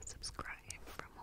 subscribe for more.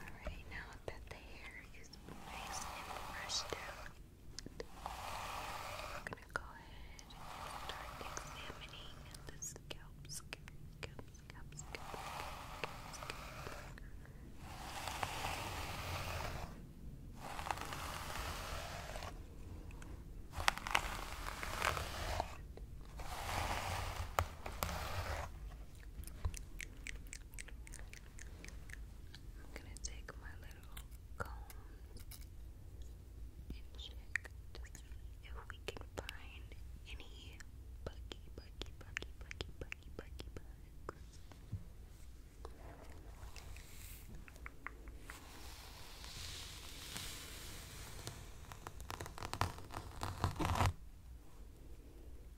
Alright, now that the hair is nice and brushed out, we're gonna go ahead and start examining the scalp, I'm gonna take my little comb and check if we can find any buggy, buggy, buggy, buggy, buggy, buggy bugs.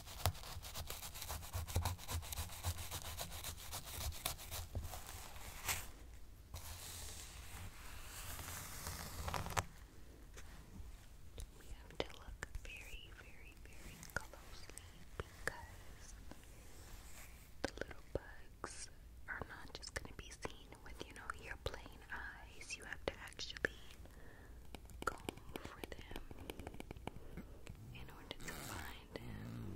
We have to look very, very, very closely because the little bugs are not just going to be seen with, you know, your plain eyes. You have to actually go for them in order to find him.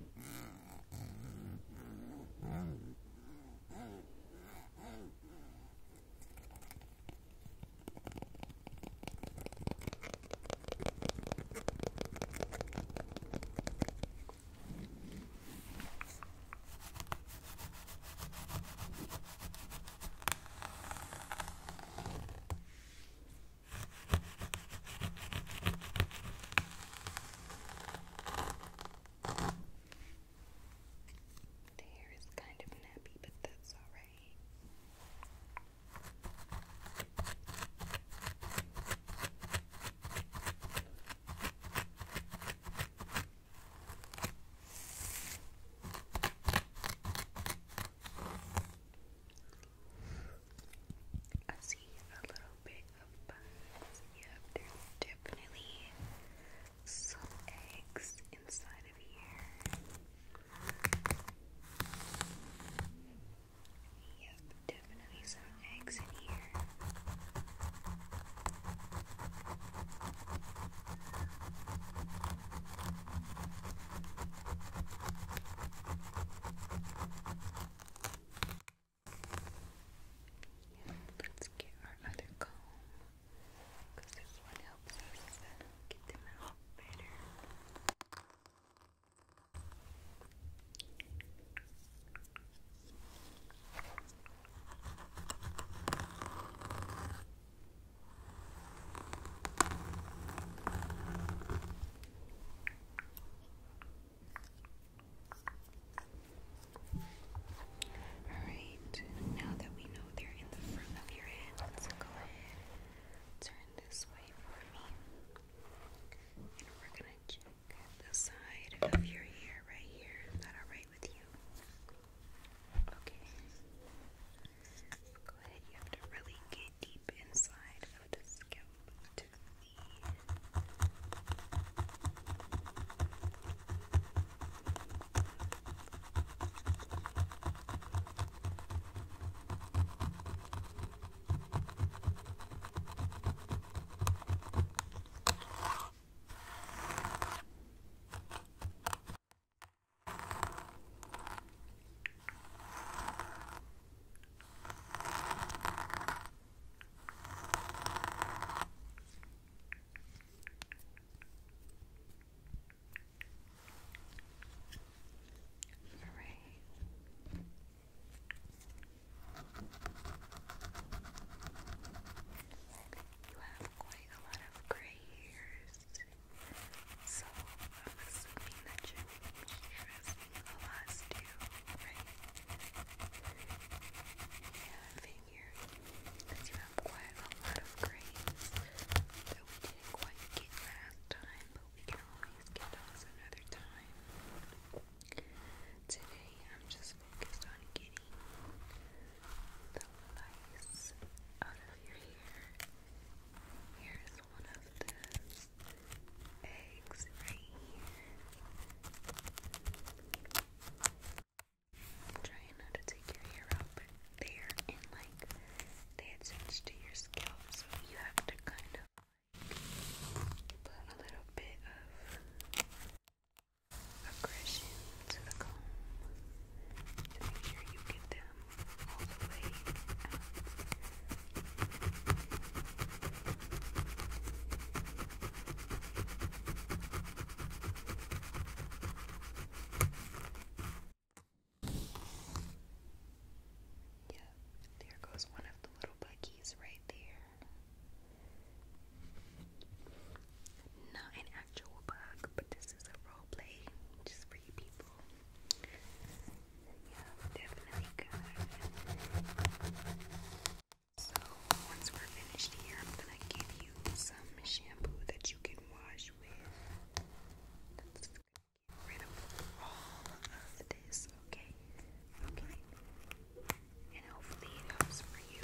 The hair is kind of nappy, but that's alright. I see a little bit of Yep, there's definitely some eggs inside of here. Yep, definitely some eggs in here. Yeah, let's get our other comb because this one helps us get them out better. Okay. Alright, now that we know they're in the front of your head, let's go ahead turn this way for me. And we're gonna check the side of your hair right here. Is that alright with you? Okay. Go ahead, you have to really get deep inside of the scalp to see. All right. You have quite a lot of gray hairs. So I'm assuming that you're stressing a lot still, right? Yeah, I because you have quite a lot of grades that we didn't quite get last time, but we can always get those another time. Today I'm just focused on getting the lice out of your hair Here's one of those eggs right here. trying not to take your hair out, but they like they attach to your scalp, so you have to kind of put a little bit of aggression to the comb to there goes one of the little buggies right there. Not an actual bug, but the this a role play just for people. Yeah, definitely So once we're finished here, I'm gonna give you some shampoo that you can wash with. That's gonna get rid of all of this, okay? Okay. And hopefully it helps for you.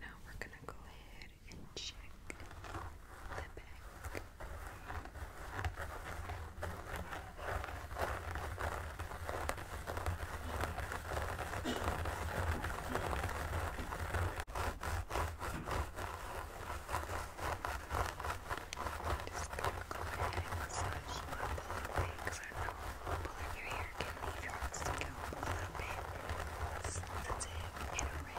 Now we're gonna go ahead and check the back. Just gonna go ahead and massage my pull away because I know pulling your hair can leave your arms to go a little bit sensitive and red.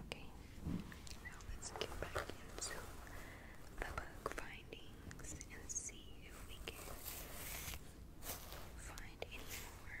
Okay, now let's get back into the book findings and see if we can find any more.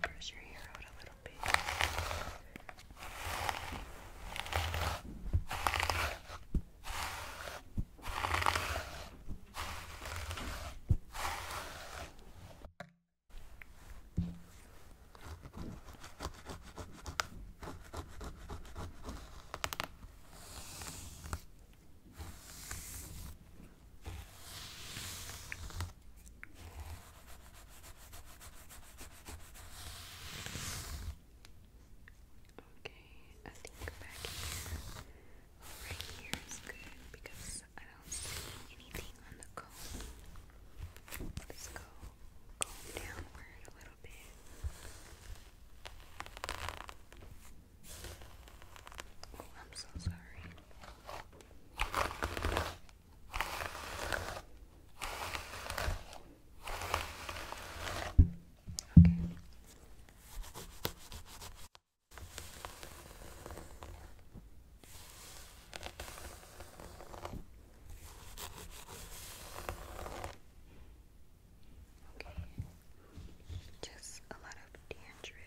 Brush your hair out a little bit. Okay, I think back here, right here is good because I don't see anything on the comb. Let's go comb downward a little bit. I'm so sorry. Okay. Okay. Just a lot of dandruff.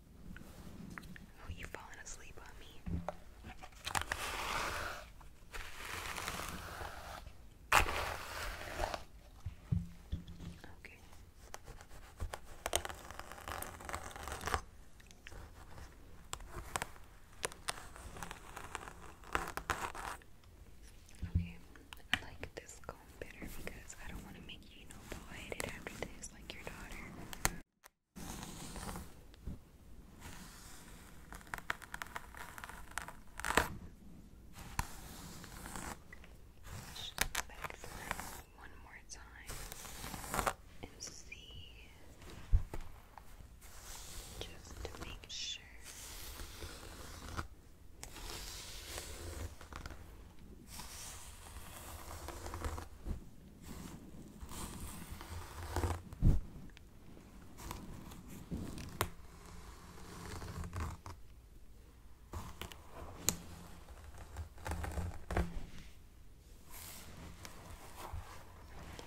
Oh, you've fallen asleep on me. Okay. Okay, I like this comb better because I don't want to make you know bald after this, like your daughter. Just go back one more time and see just to make sure. Okay,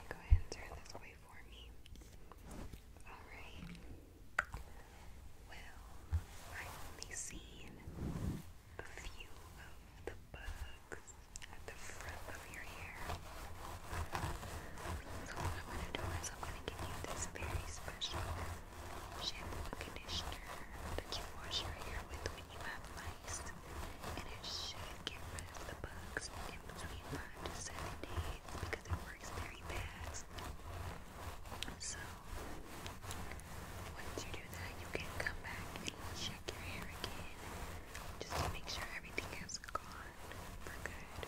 go ahead and turn this way for me. Alright. Well, I've only seen a few of the bugs at the front of your hair. So what I'm going to do is I'm going to give you this very special shampoo conditioner that you wash your hair with when you have mice. And it should get rid of the bugs in between 5 to 7 days because it works very fast. So, once you do that, you can come back and check your just make sure everything has gone for good.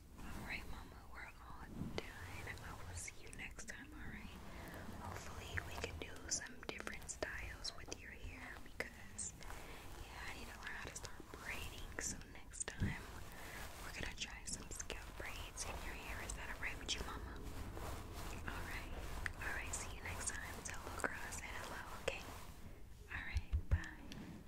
Alright, Mama, we're all done. I will see you next time, alright? Hopefully, we can do some different styles with your hair because, yeah, I need to learn how to start braiding. So, next time, we're gonna try some scalp braids in your hair. Is that alright with you, Mama? Alright, alright, see you next time. Tell little girl I hello, okay? Alright, bye.